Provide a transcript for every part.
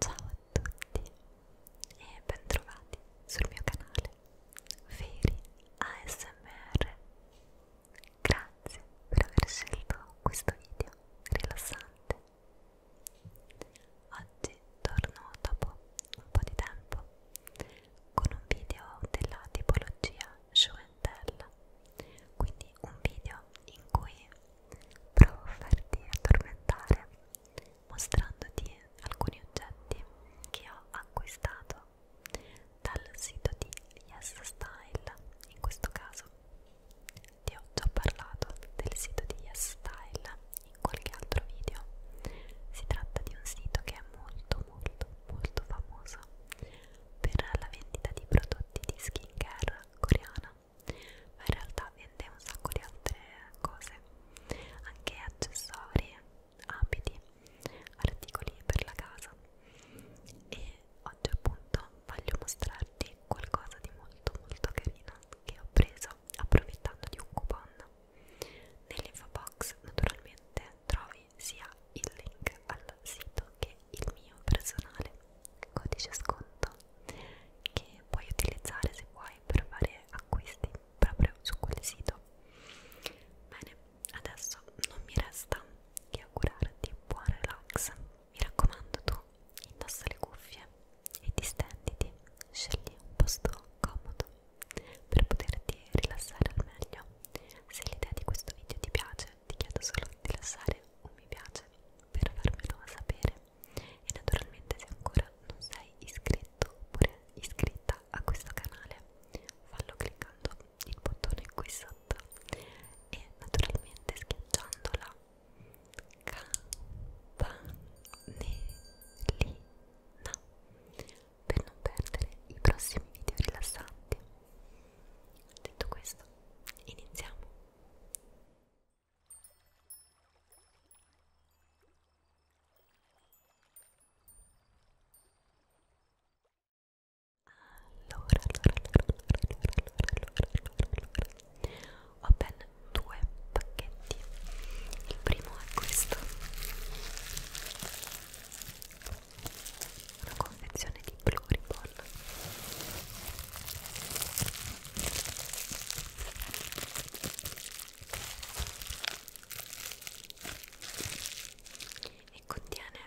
Ciao a tutti e bentrovati sul mio canale Feri ASMR. Grazie per aver scelto questo video rilassante. Oggi torno dopo un po' di tempo con un video della tipologia Show and Tell, quindi un video in cui Provo a farti addormentare mostrandoti alcuni oggetti che ho acquistato dal sito di Yes Style. In questo caso ti ho già parlato del sito di Yes Style in qualche altro video. Si tratta di un sito che è molto molto molto famoso per la vendita di prodotti di skincare coreana ma in realtà vende un sacco di altre cose anche accessori abiti articoli per la casa e oggi appunto voglio mostrarti qualcosa di molto molto carino che ho preso approfittando di un coupon nell'info box naturalmente trovi sia il link al sito che il mio personale codice sconto che puoi utilizzare se vuoi per fare acquisti proprio su quel sito bene adesso non mi resta che augurarti buon relax mi raccomando tu indossa le cuffie e distenditi scegli un posto comodo per poterti rilassare al meglio se l'idea di questo video ti piace ti chiedo solo di lasciare un mi piace per farmelo sapere e naturalmente se ancora non sei iscritto oppure iscritta a questo canale fallo cliccando il bottone qui sotto e naturalmente schiacciando la campanellina per non perdere i prossimi video rilassanti detto questo iniziamo allora, ho ben due pacchetti. Il primo è questo, una confezione di Pluribon e contiene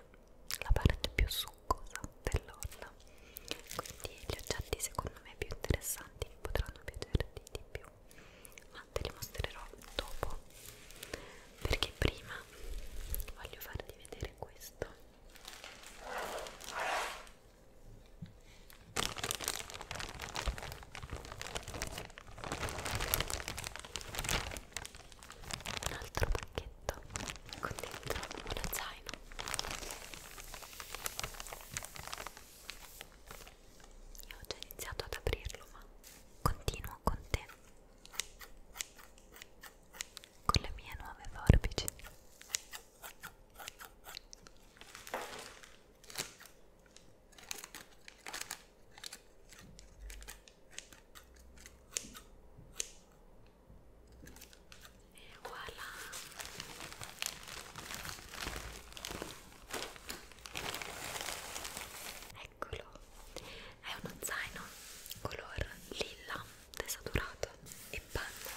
la parte più succosa dell'olla quindi gli oggetti secondo me più interessanti potranno piacerti di più ma te li mostrerò dopo perché prima voglio farti vedere questo un altro pacchetto con dentro uno zaino io ho già iniziato ad aprirlo ma continuo con te con le mie nuove forbici e voilà! Eccolo! È uno zaino color lilla desaturato e panna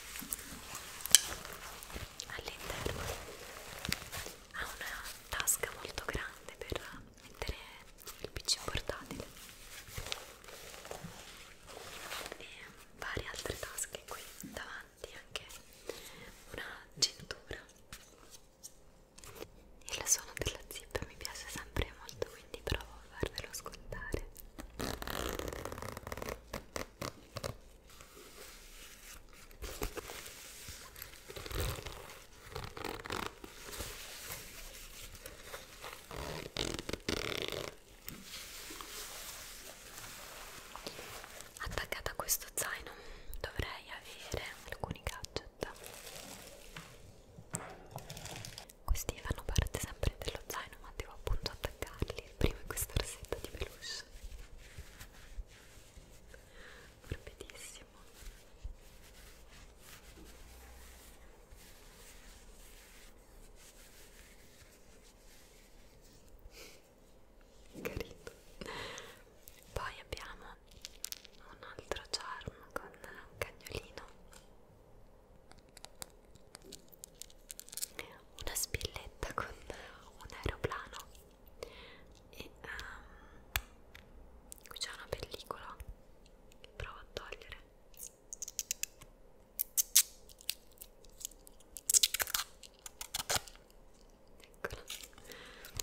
all'interno ha una tasca molto grande per mettere il pc portatile e varie altre tasche qui davanti anche una cintura e il suono della zip mi piace sempre molto quindi provo a farvelo ascoltare Attaccata a questo zaino dovrei avere alcuni gadget questi fanno parte sempre dello zaino, ma devo appunto attaccarli prima in questa rossetta di peluche. Morbidissimo. Carino. Poi abbiamo un altro charm con un cagnolino una spilletta con un aeroplano e um, qui c'è una pellicola che provo a togliere eccola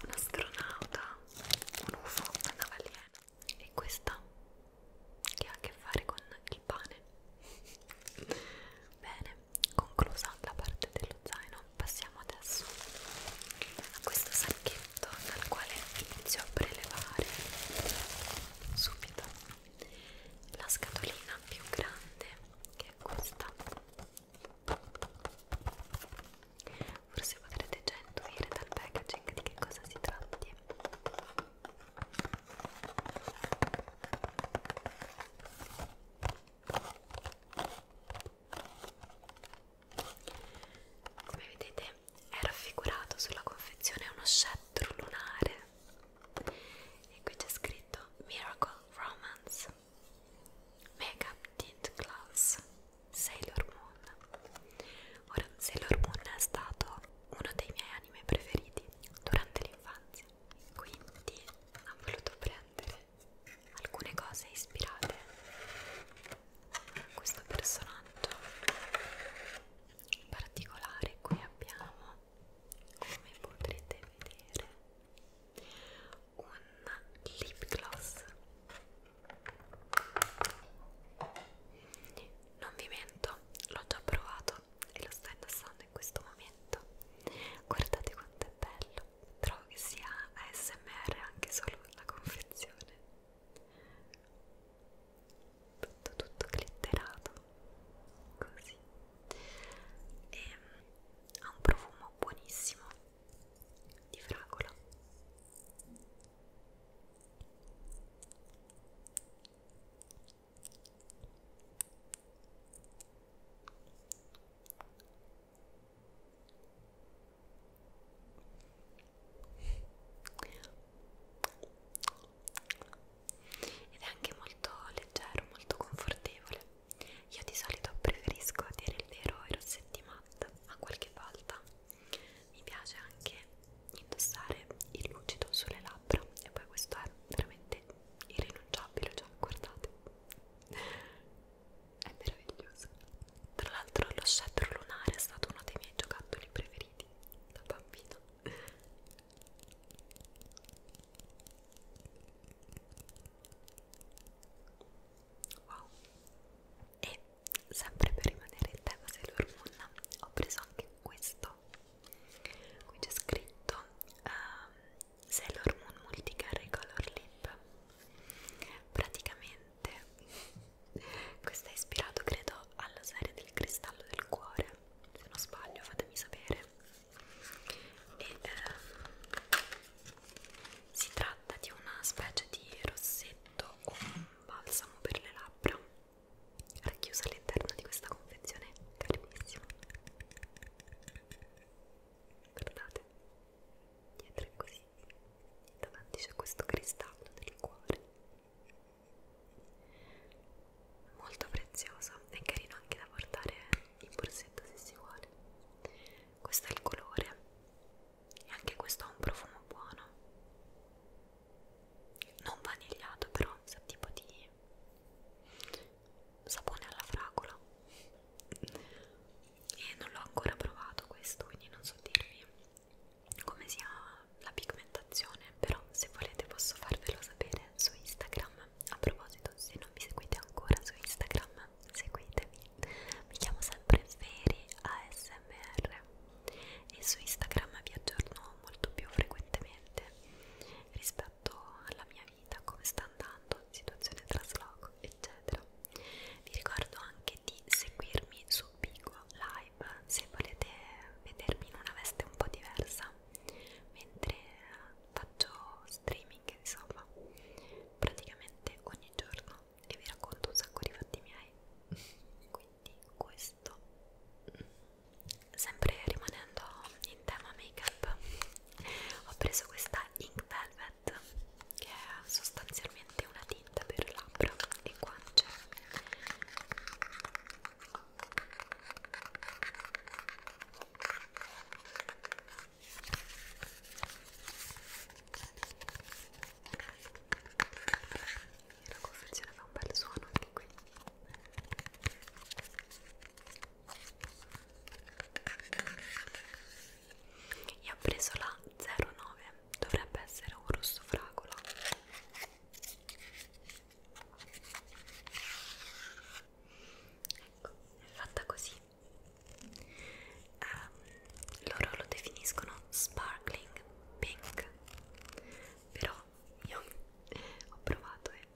un astronauta un ufo, una balena e questa che ha a che fare con il pane bene conclusa la parte dello zaino passiamo adesso a questo sacchetto dal quale inizio a prelevare subito la scatolina più grande che è questa forse potrete già intuire dal packaging di che cosa si tratti come vedete è raffigurato sulla confezione uno scettro lunare e qui c'è scritto Miracle Romance Makeup Tint Gloss Sailor Moon Ora, Sailor Moon è stato uno dei miei anime preferiti durante l'infanzia, quindi ho voluto prendere alcune cose ispirate a questo personaggio in particolare. Qui abbiamo, come potrete vedere, un lip gloss. Non vi mento, l'ho già provato e lo sto indossando in questo momento guardate quanto è bello trovo che sia ASMR anche solo la confezione tutto tutto glitterato così e ehm, ha un profumo buonissimo di fragola ed è anche molto leggero, molto confortevole. Io di solito preferisco a dire il vero i rossetti matte a qualche volta mi piace anche indossare il lucido sulle labbra e poi questo è veramente irrinunciabile cioè guardate è meraviglioso tra l'altro lo scettro lunare è stato uno dei miei giocattoli preferiti da bambino wow e sempre per rimanere in tema Sailor Moon ho preso anche questo qui c'è scritto um, Sailor Moon Multicarry Color Lip praticamente questo è ispirato credo alla serie del cristallo del cuore se non sbaglio fatemi sapere e um, si tratta di una specie di rossetto o un balsamo per le labbra racchiusa all'interno di questa confezione calmissima guardate dietro è così davanti c'è questo cristallo del cuore molto prezioso è carino anche da portare in borsetto se si vuole questo è il colore e anche questo ha un profumo buono non vanigliato però sa tipo di sapone alla fragola e non l'ho ancora provato questo quindi non so dirvi come sia la pigmentazione però se volete posso farvelo sapere su Instagram a proposito se non mi seguite ancora su Instagram seguitemi mi chiamo sempre Feri ASMR e su Instagram vi aggiorno molto più frequentemente rispetto alla mia vita, come sta andando, situazione trasloco, eccetera. Vi ricordo anche di seguirmi su Bigo Live se volete vedermi in una veste un po' diversa mentre faccio streaming, insomma, praticamente ogni giorno e vi racconto un sacco di fatti miei quindi questo mm, sempre rimanendo in tema make up ho preso questa Ink Velvet che è sostanzialmente una tinta per labbra e guance e la confezione fa un bel suono anche qui io ho preso la 09 dovrebbe essere un rosso fragola ecco è fatta così um, loro lo definiscono sparkling pink però io ho provato e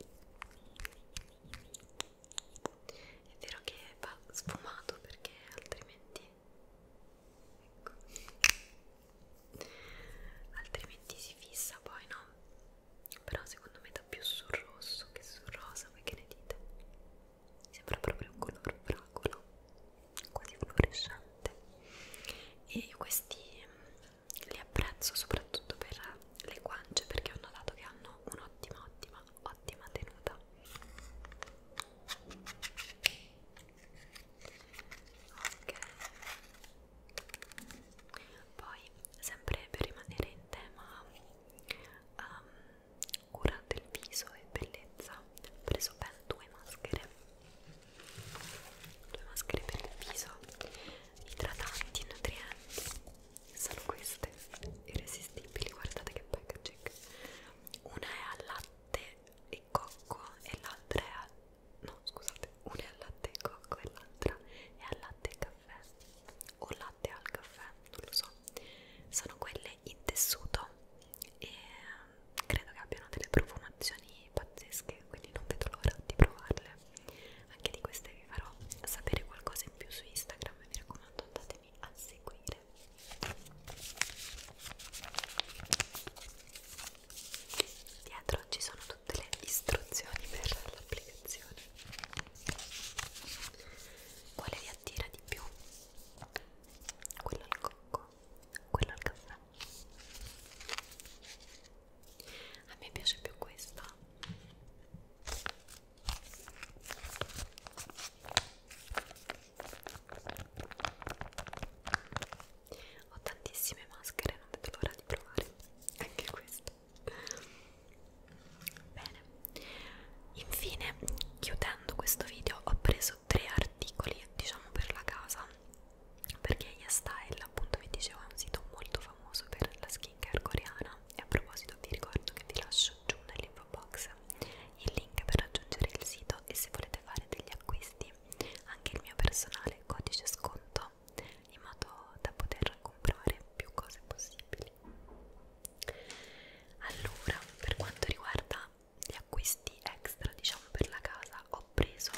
è vero che va sfumato perché altrimenti ecco altrimenti si fissa poi no però secondo me dà più sul rosso che sul rosa voi che ne dite? Mi sembra proprio un color fragola quasi fluorescente e questi mm, li apprezzo soprattutto per le guance perché ho notato che hanno un'ottima ottima ottima tenuta ok poi sempre per rimanere in tema um, cura del viso e bellezza ho preso ben due maschere due maschere per il viso idratanti e nutrienti sono queste irresistibili guardate che packaging una è al latte e cocco e l'altra è al no scusate una è al latte e cocco e l'altra è al latte e caffè o latte al caffè non lo so sono quelle in tessuto e mm, credo che abbiano delle profumazioni pazzesche quindi non vedo l'ora di provarle anche di queste vi farò sapere qualcosa in più su Instagram mi raccomando andatemi a seguire dietro ci sono tutte le istruzioni per l'applicazione quale vi attira di più? quello al cocco quello al caffè a me piace più questa ho tantissime maschere non vedo l'ora di provare anche questa bene infine chiudendo questo video ho preso preso tre articoli diciamo per la casa perché YesStyle appunto vi dicevo è un sito molto famoso per la skincare coreana e a proposito vi ricordo che vi lascio giù nell'info box il link per raggiungere il sito e se volete fare degli acquisti anche il mio personale codice sconto in modo da poter comprare più cose possibili allora per quanto riguarda gli acquisti extra diciamo per la casa ho preso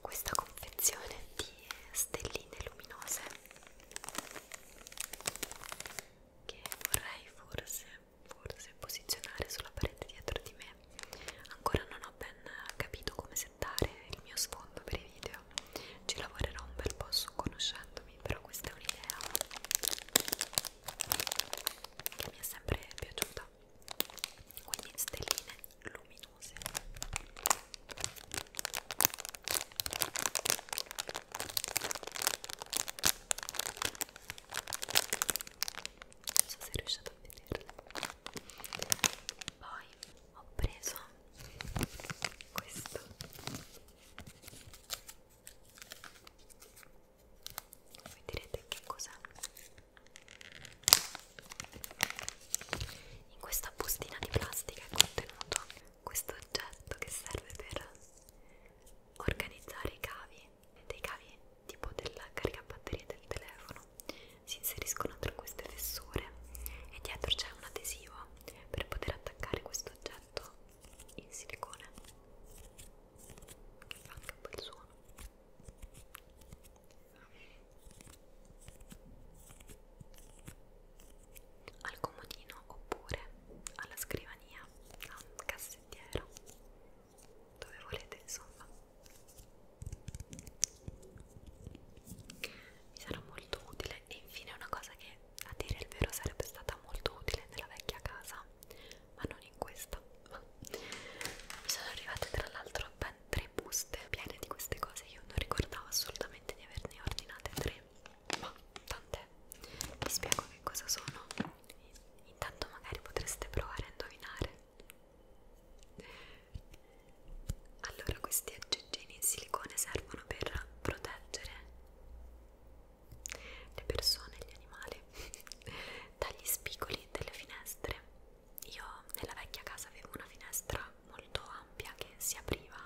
questa confezione di stelline luminose che vorrei forse forse posizionare sulla parete dietro di me ancora non ho ben capito come settare il mio sfondo per i video ci lavorerò un bel po' su conoscendomi però questa è un'idea che mi è sempre piaciuta quindi stelline luminose non so se riuscite a vederle poi ho preso questo voi direte che cos'è in questa bustina di plastica è contenuto questo oggetto che serve per organizzare i cavi dei cavi tipo della caricabatterie del telefono si inseriscono tra queste fessure e dietro c'è un adesivo per poter attaccare questo oggetto in silicone che fa anche un bel suono al comodino oppure alla scrivania al cassettiero dove volete insomma mi sarà molto utile e infine una cosa che a dire il vero sarebbe stata molto utile nella vecchia casa ma non in questa mi sono arrivate tra l'altro ben tre buste piene di queste cose io non ricordavo assolutamente di averne ordinate tre ma tant'è vi spiego che cosa sono intanto magari potreste provare a indovinare allora questi aggeggini in silicone servono per proteggere le persone, gli animali, dagli spigoli delle finestre. Io nella vecchia casa avevo una finestra molto ampia che si apriva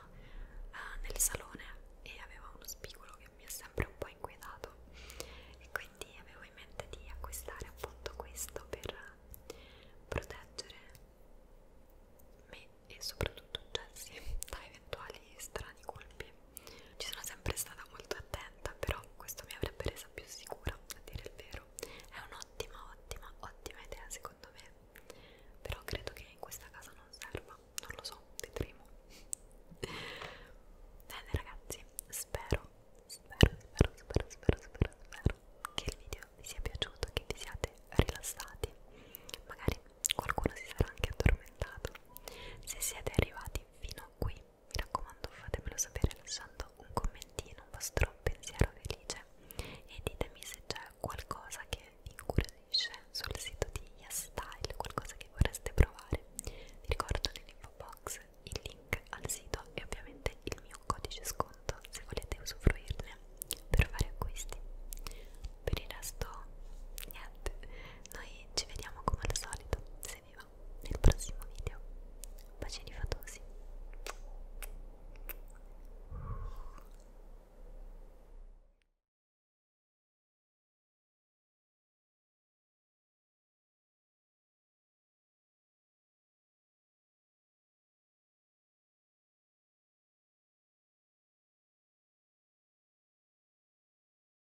eh, nel salone e aveva uno spigolo che mi ha sempre un po' inquietato e quindi avevo in mente di acquistare appunto questo per proteggere me e soprattutto Jessie da eventuali strani colpi ci sono sempre stata molto attenta però questo mi avrebbe resa più sicura a dire il vero è un'ottima ottima ottima idea secondo me però credo che in questa casa non serva non lo so vedremo bene ragazzi spero spero spero spero spero spero spero che il video vi sia piaciuto che vi siate rilassati magari qualcuno si sarà anche addormentato se siete arrivati fino a qui mi raccomando fatemelo sapere lasciando un commentino, un vostro pensiero felice e ditemi se c'è qualcosa che vi incuriosisce sul sito di YesStyle, qualcosa che vorreste provare. Vi ricordo nell'info box il link al sito e ovviamente il mio codice sconto se volete usufruirne per fare acquisti. Per il resto niente, noi ci vediamo come al solito, se se vi va nel prossimo video bacini fatosi